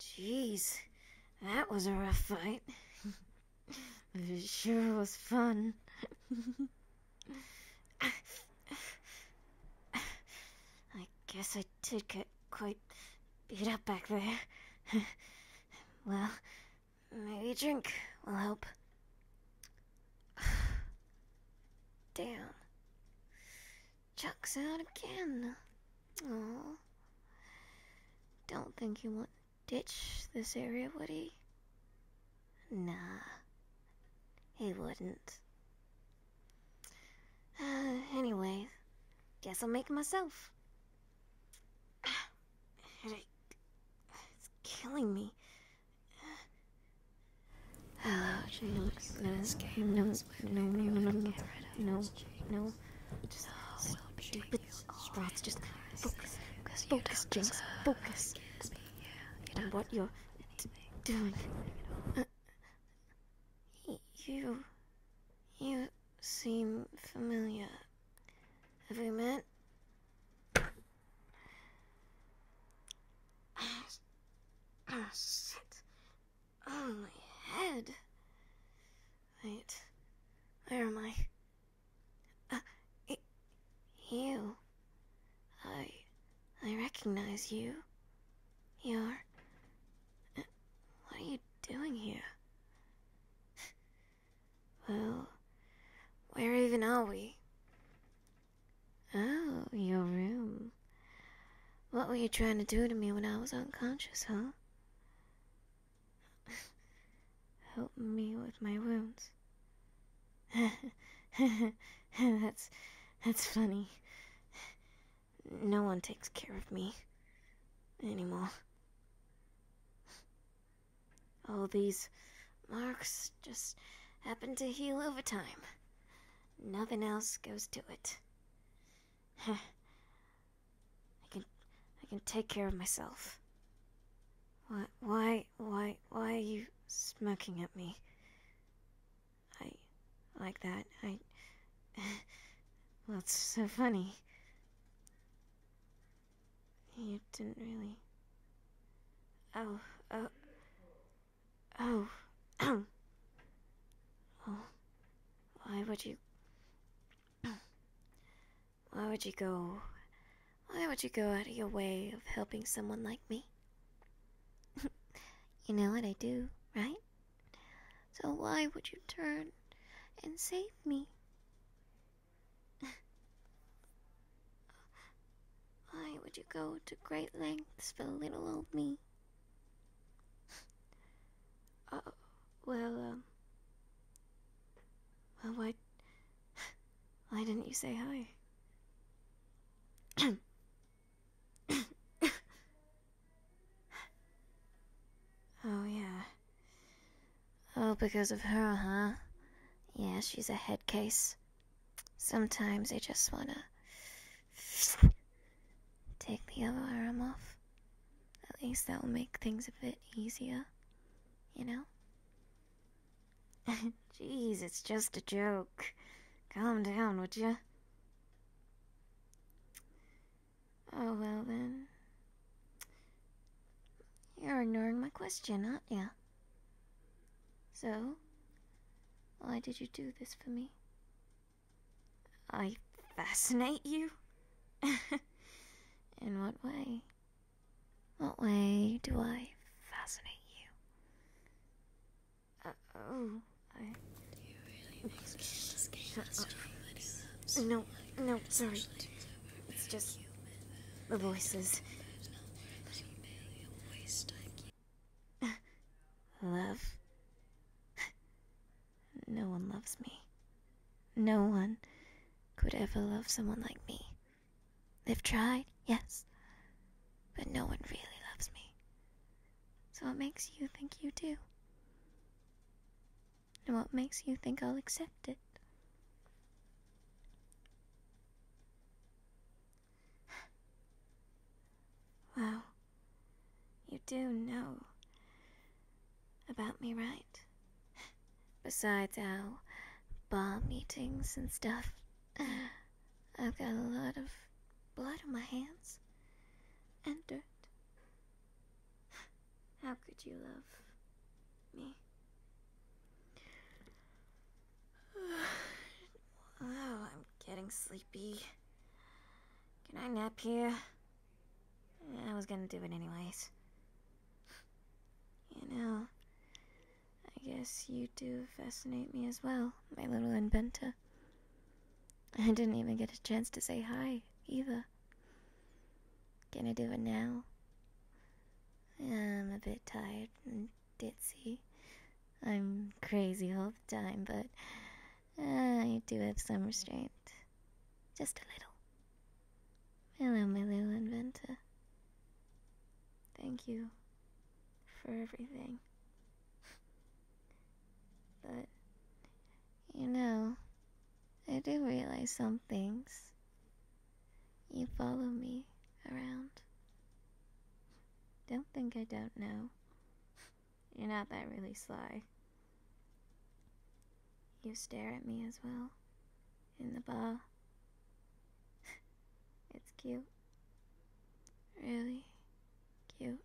Jeez, that was a rough fight. it sure was fun. I guess I did get quite beat up back there. well, maybe a drink will help. Damn. Chuck's out again. Aw. Don't think he would ditch this area, would he? Nah. He wouldn't. Uh, anyway, guess I'll make it myself. It's killing me. Hello, she looks at his game. No, no, no, no, no, no, no. Just so stupid. Strats just focus, focus, Jinx, focus on what you're doing. Uh, you, you seem familiar. Have we met? Oh, shit. Oh, my head. Wait. Where am I? Uh, it, you. I. I recognize you. You're. what are you doing here? well. Where even are we? Oh, your room. What were you trying to do to me when I was unconscious, huh? Help me with my wounds. that's that's funny. No one takes care of me anymore. Oh, these marks just happen to heal over time. Nothing else goes to it. I can I can take care of myself. Why why why why are you smirking at me? I like that. I well, it's so funny. You didn't really. Oh, oh. Oh. oh. why would you. why would you go. Why would you go out of your way of helping someone like me? you know what I do, right? So why would you turn and save me? Why would you go to great lengths for little old me? Uh, well, um, well, why, why didn't you say hi? oh yeah, Oh, because of her, huh? Yeah, she's a head case. Sometimes I just wanna take the other arm off. At least that will make things a bit easier, you know? Jeez, it's just a joke. Calm down, would you? Oh, well then. You're ignoring my question, aren't you? So, why did you do this for me? I fascinate you? In what way? What way do I fascinate you? Uh, oh, I. Do you really no, no, sorry. It's just the voices. Love? No one loves me. No one could ever love someone like me. They've tried, yes, but no one really loves me. So what makes you think you do? And what makes you think I'll accept it? wow. You do know about me, right? Besides our bar meetings and stuff, I've got a lot of blood on my hands and dirt. How could you love me? Oh, I'm getting sleepy. Can I nap here? I was gonna do it anyways. You know, I guess you do fascinate me as well, my little inventor. I didn't even get a chance to say hi, either. Can I do it now. I'm a bit tired and dizzy. I'm crazy all the time, but uh, I do have some restraint. Just a little. Hello, my little inventor. Thank you for everything. but, you know, I do realize some things. You follow me around. Don't think I don't know. You're not that really sly. You stare at me as well. In the bar. it's cute. Really cute.